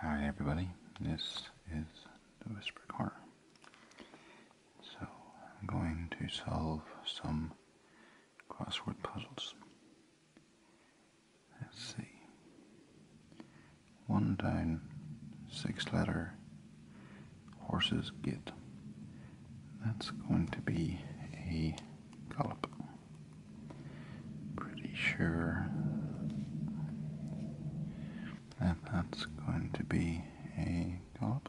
Hi everybody, this is the Whisper Corner. So I'm going to solve some crossword puzzles. Let's see. One down, six letter horses get. That's going to be a gallop. Pretty sure that that's going to be a gallop.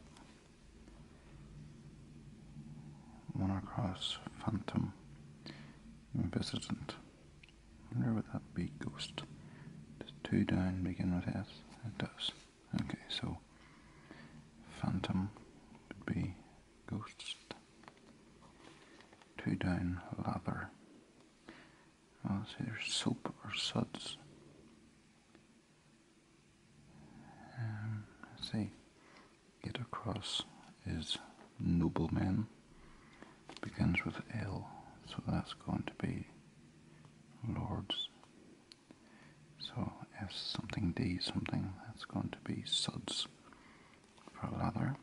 Monocross Phantom Visitant. Wonder would that be Ghost. Does two down begin with S? It does. Okay, so Phantom would be Ghost. Two down, lather. Oh, see, there's soup or suds. Um, see, get across is nobleman. Begins with L, so that's going to be lords. So S something D something, that's going to be suds for lather.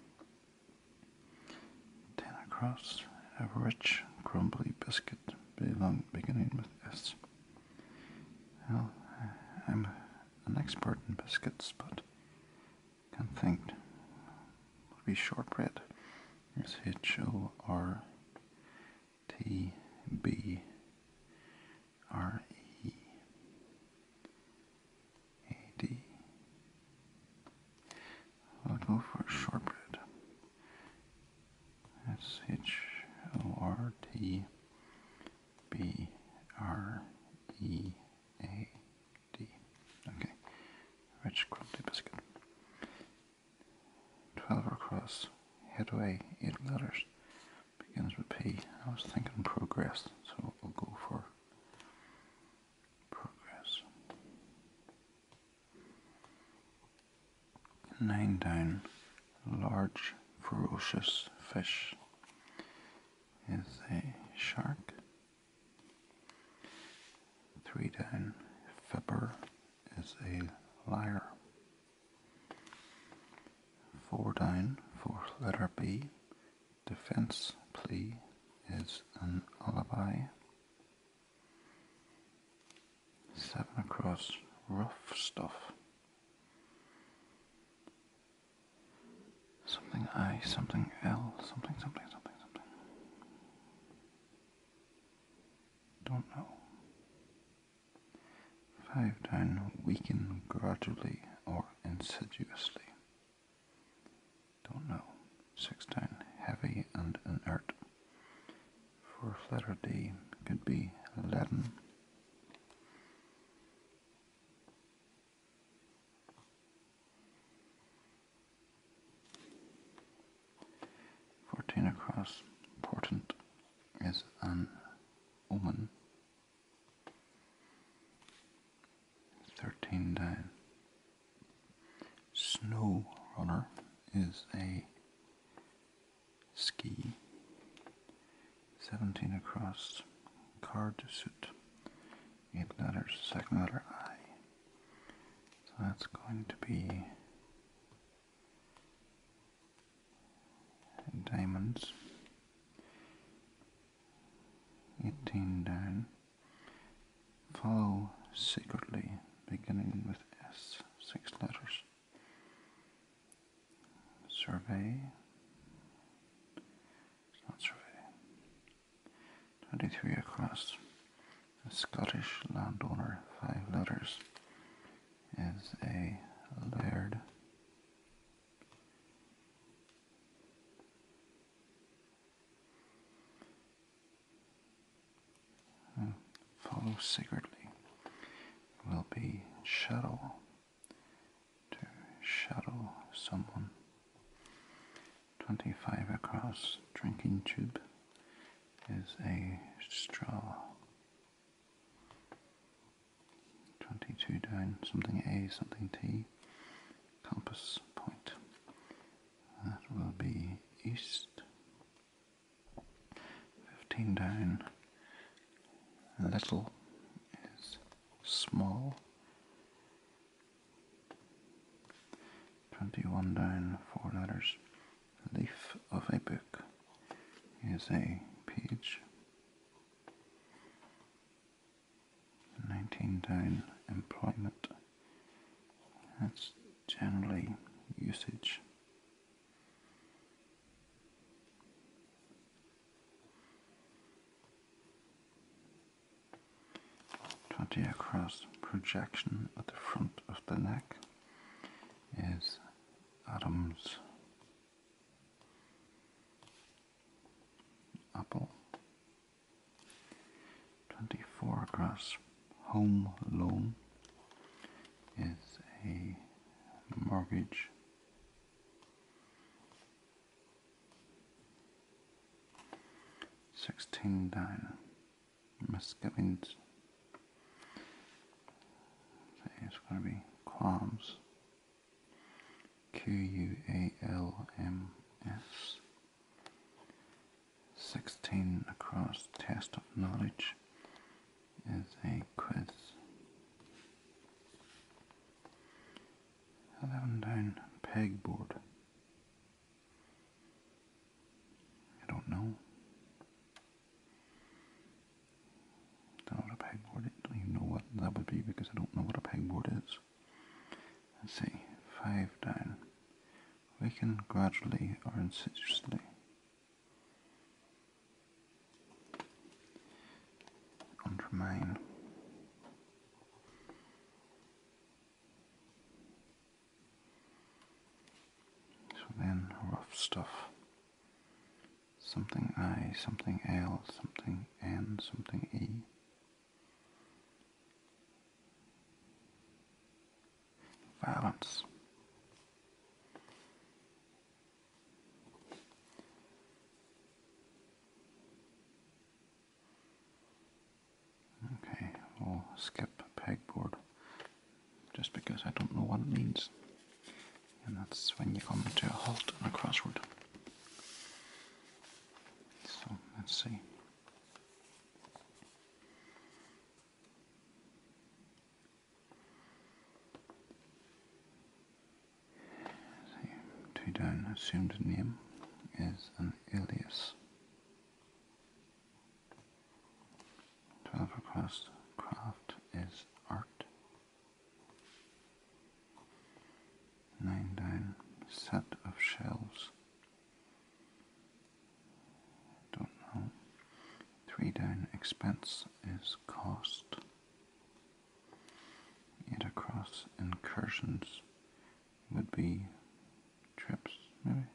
Tanner Crafts a rich crumbly biscuit belong, beginning with S. am an expert in biscuits, but can't think. It'll be shortbread. S H O R T B R E. A D. I'll go for shortbread. That's Okay. Rich crumbly biscuit. Twelve across. Headway, eight letters. Begins with P. I was thinking progress, so we'll go for Nine down, large ferocious fish is a shark. Three down, fibber is a liar. Four down, fourth letter B defense plea is an alibi. Seven across, rough stuff. Something I, something L, something, something, something, something. Don't know. Five down, weaken gradually or insidiously. Don't know. 16. Heavy and inert. Fourth letter D could be leaden. Fourteen across. Portent is an omen. Thirteen down. Snow runner is a ski. Seventeen across. Card suit. Eight letters. Second letter I. So that's going to be diamonds. 18 down. Follow secretly, beginning with S, six letters. Survey. not survey. 23 across. A Scottish landowner, five letters, is a laird Follow secretly will be shadow to shadow someone. 25 across drinking tube is a straw. 22 down, something A, something T, compass point. That will be east. 15 down, little is small. 21 down, four letters. Leaf of a book is a page. 19 down employment. That's generally usage. Twenty across projection at the front of the neck is Adam's Apple. 24 across home loan is a mortgage. Sixteen Diner Muscovins. So it's going to be qualms. QUALMS. 16 across test of knowledge is a quiz. 11 down pegboard. I don't know. Not what a pegboard is. Don't even know what that would be because I don't know what a pegboard is. Let's see. Five down. Waken gradually or insidiously. Undermine. So then rough stuff something I, something L, something N, something E. Violence. Okay, we'll skip pegboard just because I don't know what it means and that's when you come to a halt on a crossword. So let's see two down, assumed name is an alias. 12 across, craft is art. Nine set of shelves. don't know. Three down expense is cost. Yet across incursions would be trips, maybe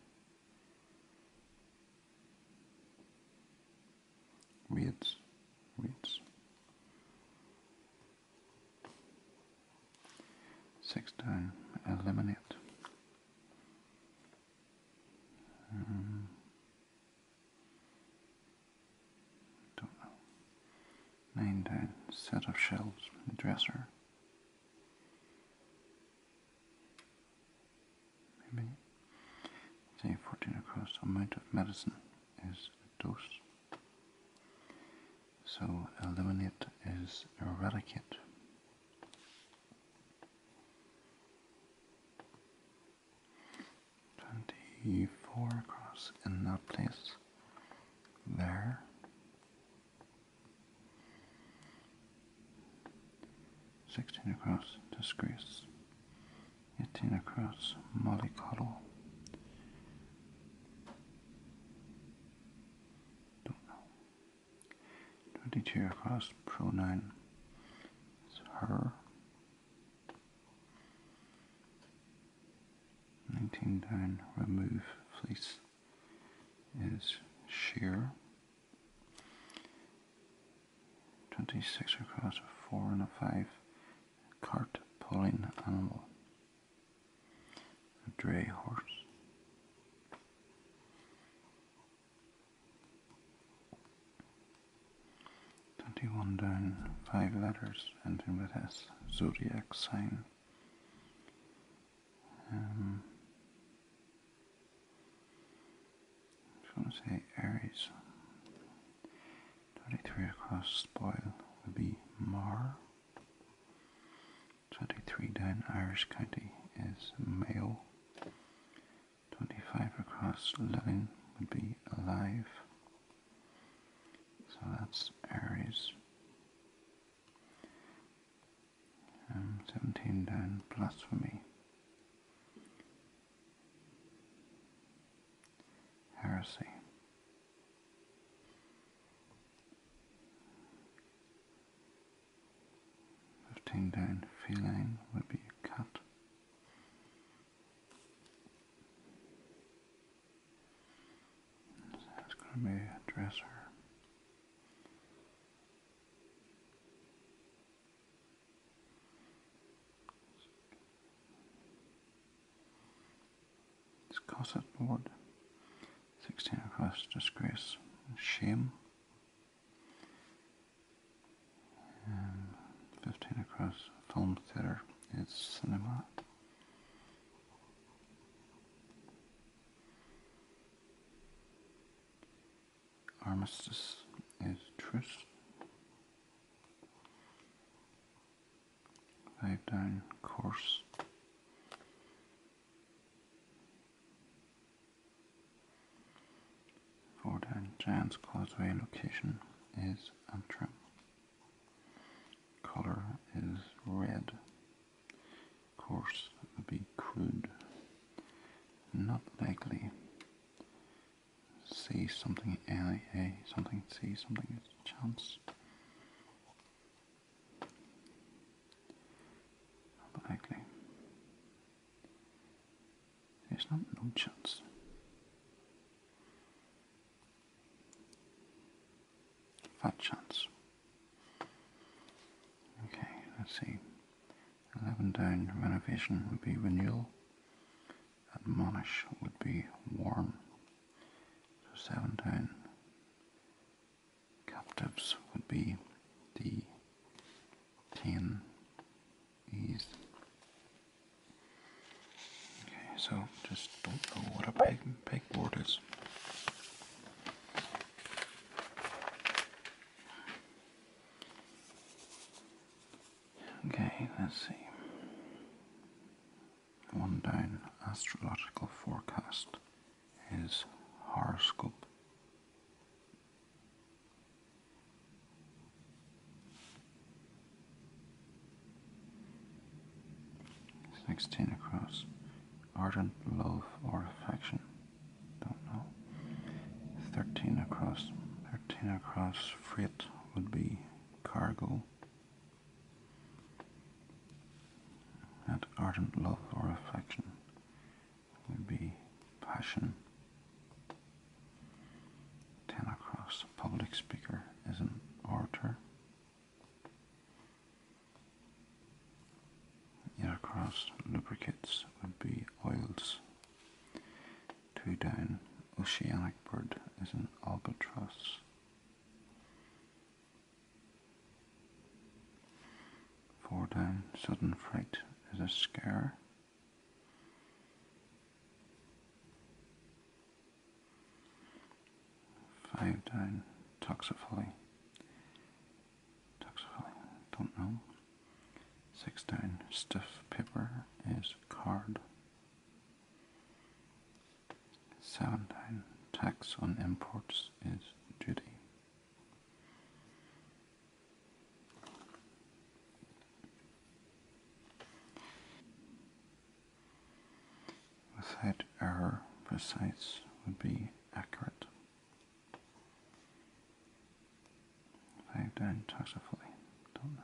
weeds, weeds. Six down, eliminate. Mm-hmm. don't know. Nine down, set of shelves, dresser. Maybe. Say 14 across, amount of medicine is so eliminate is eradicate. Twenty-four across in that place. There. Sixteen across. Disgrace. 18 across Mollycoddle. Don't know. 22 across pronoun is her. 19 down, remove fleece is sheer. 26 across a 4 and a 5 cart pulling animal, dray horse. Twenty-one down, five letters ending with S, zodiac sign. Um, i to say Aries. Twenty-three across house spoil would be Mar. 23 down Irish County is Mayo. 25 across Lillian would be Alive. So that's Aries. Um, 17 down Blasphemy heresy. Fifteen down feline would be a cat. going to be a dresser. This cosset ward, sixteen across disgrace shame. 15 across film theater it's cinema armistice is truce lifetime course. For the Giants Causeway location is Antrim. Color is red. Course would be crude. Not likely. See something A, A something See something chance. Not There's not no chance. Fat chance. Okay, let's see. 11 down, renovation would be renewal admonish would be warm. So seventeen Captives would be the Ten. Ease. Okay, so just don't know what a peg pegboard is. Okay, let's see. One down astrological forecast is horoscope. Sixteen across. Ardent love or affection. Don't know. Thirteen across. Thirteen across freight would be cargo. That ardent love or affection would be passion. Ten across, public speaker is an orator. Yet across, lubricates would be oils. Two down. Oceanic bird is an albatross. Four down. Sudden fright is a scare. Five down. Toxophily. Toxophily. Don't know. Six down. Stiff paper is card. Seventeen tax on imports is duty. Without error, precise would be accurate. Five down taxifully. Don't know.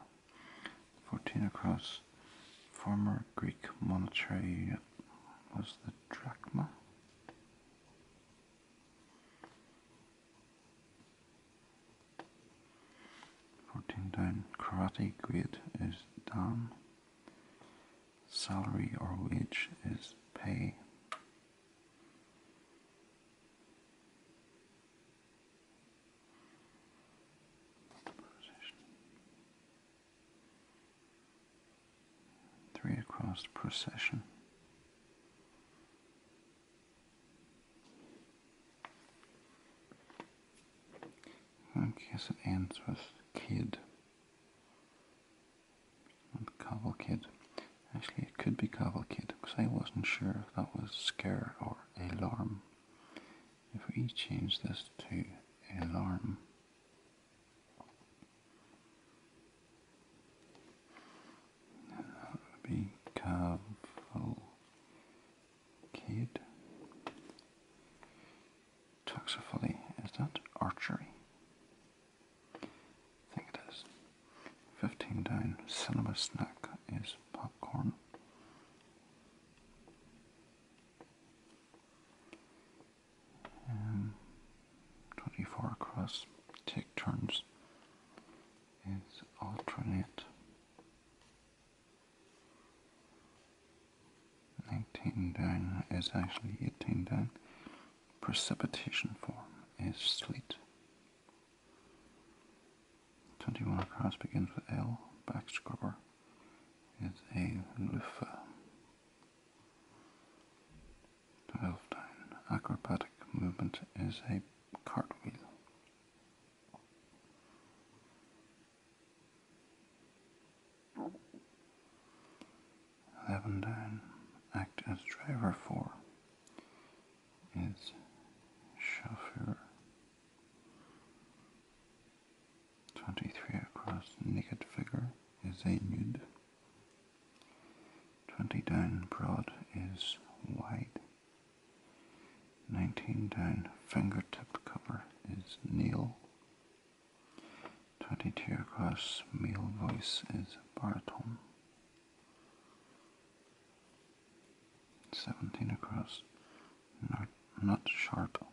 Fourteen across former Greek monetary unit was the drachma. Fourteen down, karate grade is dan. Salary or wage is pay. Three across the procession. I guess it ends with kid. Not Cavalcade. Actually, it could be kid because I wasn't sure if that was scared or alarm. If we change this to alarm, that would be cavalcade. Toxophily, is that archery? I think it is. Fifteen down. Cinema snack is popcorn. Um, twenty-four across. Take turns. Is alternate. Nineteen down is actually eighteen down. Precipitation form is sleet. 21 across begins with L. Back scrubber is a loofah. 12 down. Acrobatic movement is a cartwheel. 11 down. Act as driver for is chauffeur. 23 across naked figure is a nude. 20 down broad is wide. 19 down finger fingertip cover is nail. 22 across male voice is baritone. Seventeen across. Not, sharp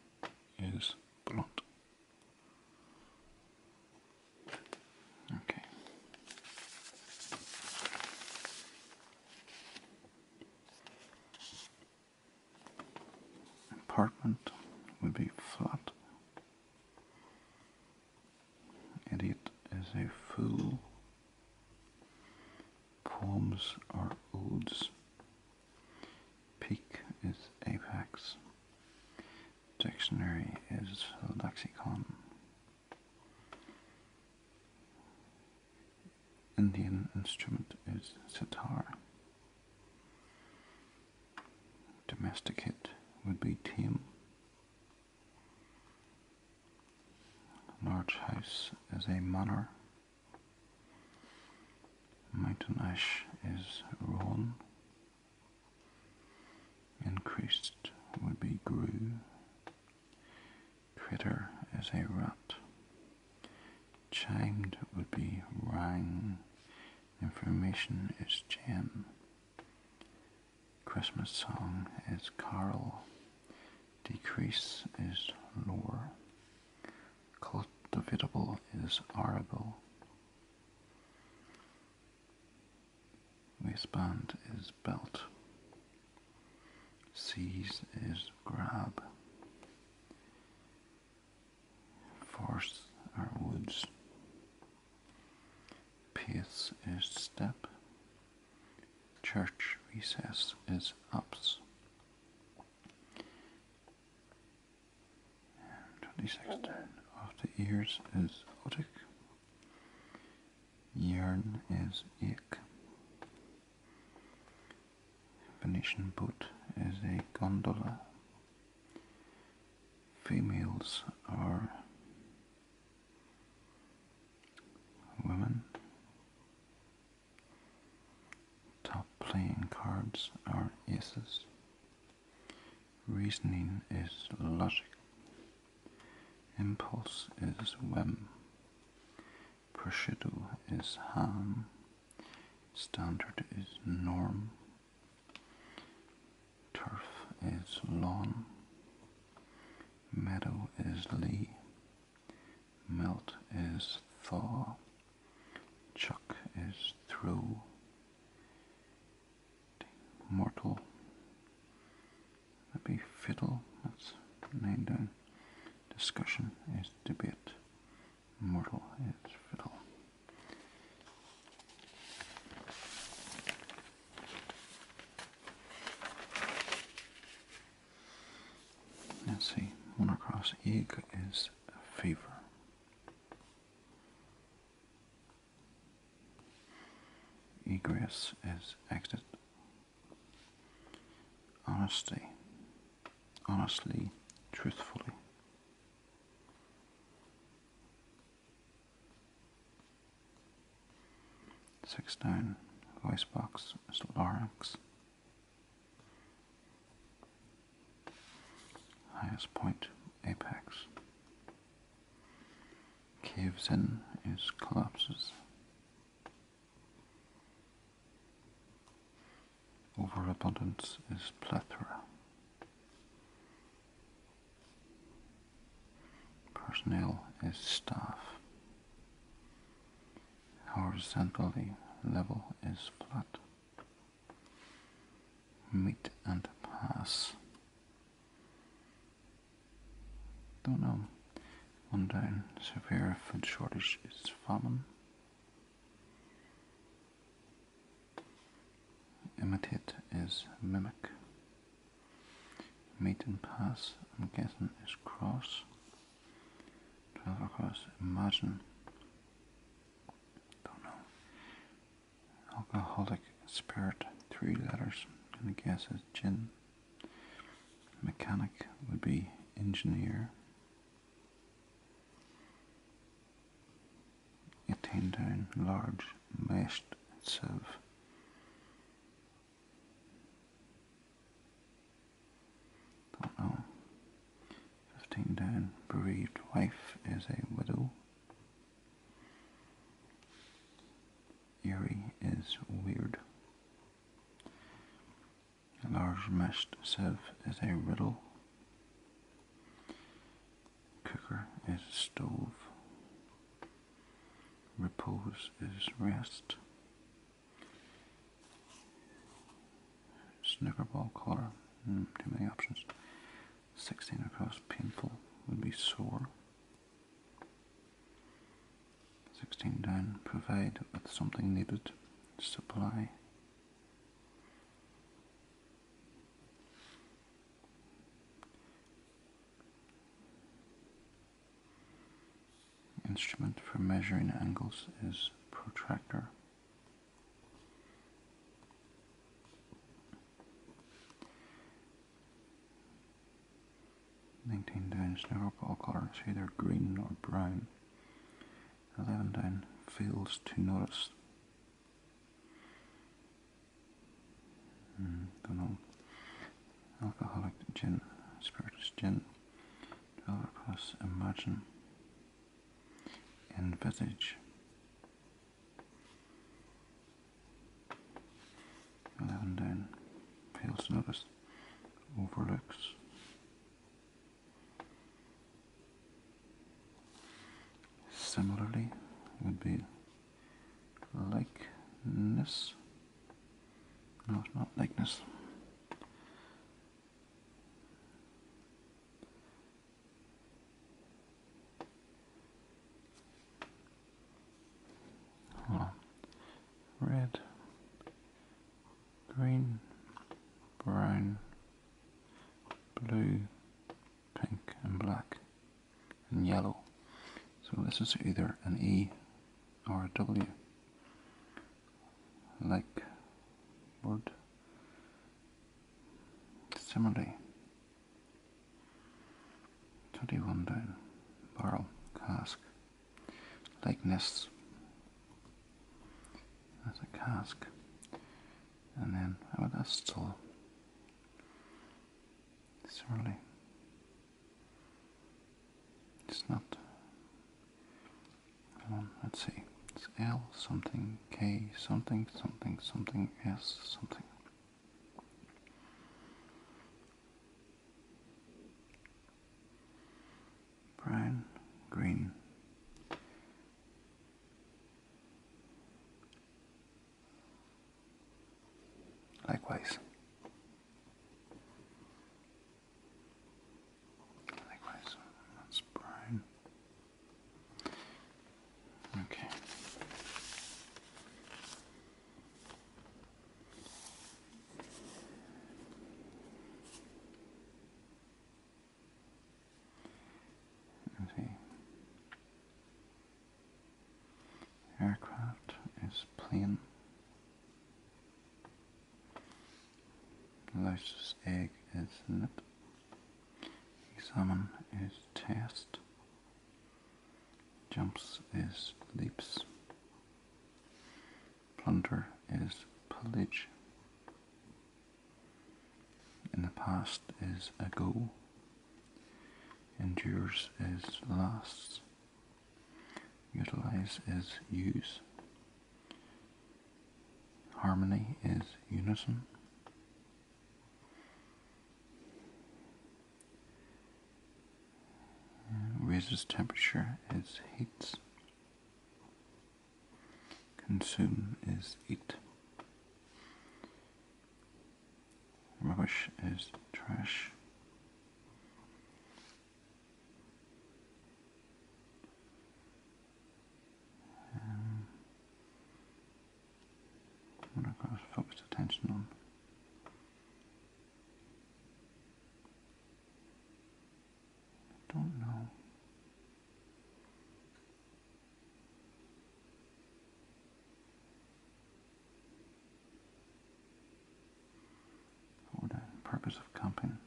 is blunt. Okay. Apartment would be flat. Idiot is a fool Poems are odes. Peak is apex. Dictionary is lexicon. Indian instrument is sitar. Domesticate would be tame. Large house is a manor. Mountain ash is rowan. Increased would be grew. Critter is a rat. Chimed would be rang. Information is jam. Christmas song is carol. Decrease is lower. Cultivable is arable. Waistband is belt. Seize is grab. Forests are woods. Pace is step. Church recess is ups. Twenty six down of the ears is otic. Yarn is ik. Venetian boat is a gondola. Females are Women. Top playing cards are aces. Reasoning is logic. Impulse is whim. Prosciutto is ham. Standard is norm. Turf is lawn. Meadow is Lee. Melt is thaw. Chuck is through. Mortal. that fiddle. That's named down. Discussion is debate. Mortal is fiddle. Let's see, One across, eagle is a favor. Egress is exit. Honestly, Honestly, truthfully. Sixteen voice box is larynx. Highest point apex. Caves in is collapses. Overabundance is plethora. Personnel is staff. Horizontally level is flat. Meet and pass. Don't know. One day, Severe food shortage is famine. Imitate is mimic. Maiden pass, I'm guessing, is cross. 12 across, imagine. Don't know. Alcoholic spirit, three letters. i gonna guess is gin. Mechanic would be engineer. Attain down, large, meshed itself. Don't know. 15 down. Bereaved wife is a widow. Eerie is weird. A large meshed sieve is a riddle. Cooker is stove. Repose is rest. Snickerball color. Hmm, too many options. 16 across painful would be sore. 16 down. Provide with something needed. Supply. Instrument for measuring angles is protractor. Nineteen down is pole color, it's either green or brown. Eleven down fails to notice don't hmm, know. Alcoholic gin, spirituous gin, dwell across, imagine, envisage. Eleven down, pales notice, overlooks. Similarly, would be likeness. No, it's not likeness. Oh. Red, green, brown, blue, pink, and black and yellow. So this is either an E or a W. Like wood, Similarly, 21 down, barrel, cask, nests. that's a cask, and then, oh that's still, similarly, it's not. let's see. It's L something K something something something S something. Brian Green. Likewise. Likewise. That's Brian. Okay. Let aircraft is plane. Louse's egg is lit. Examine is test. Jumps is leaps. Plunder is pillage. In the past is ago. Endures is lasts. Utilize is use. Harmony is unison. Raises temperature is heats. Consume is eat. Rubbish is trash. Um, what i focus attention on. don't know for the purpose of camping.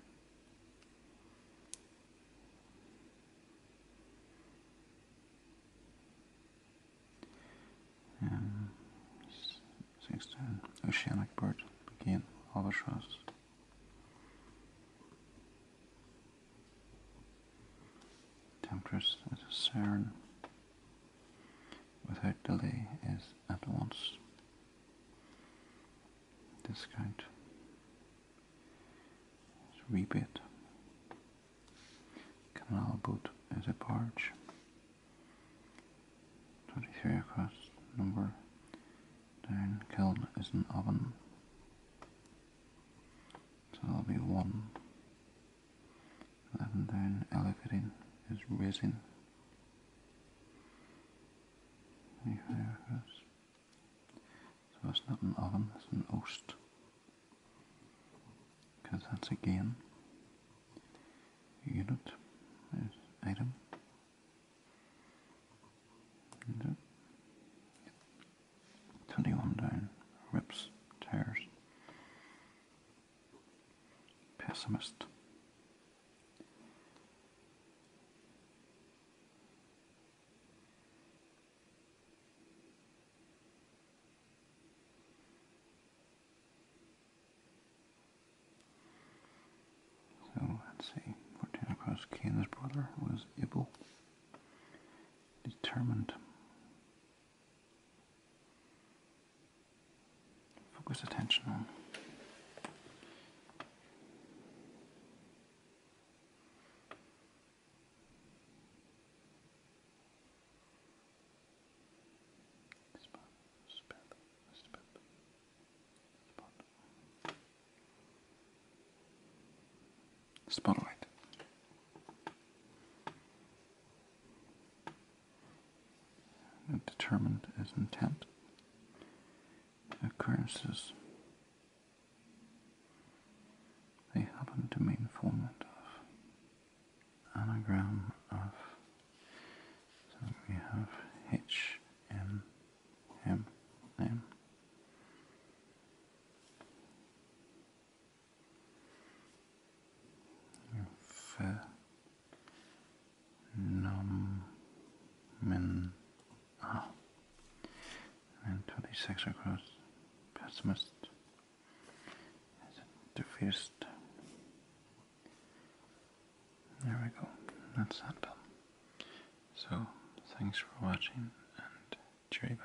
Sixteen oceanic bird begin albatross. Temptress as without delay is at once discount is rebate canal boat is a barge 23 across number down kiln is an oven so there will be one Lavender and aloe vera is rising. So it's not an oven, it's an oast. Because that's again unit is item. 21 down, rips, tears pessimist. So let's see, Fortinacross Cain's brother was able, determined, Focus attention on. Spotlight determined as intent occurrences they happen to in form of anagram of so we have H M M M phenomenon. Oh. And 26 across pessimist is a defeatist. There we go. That's that film. So, thanks for watching and cheery bye.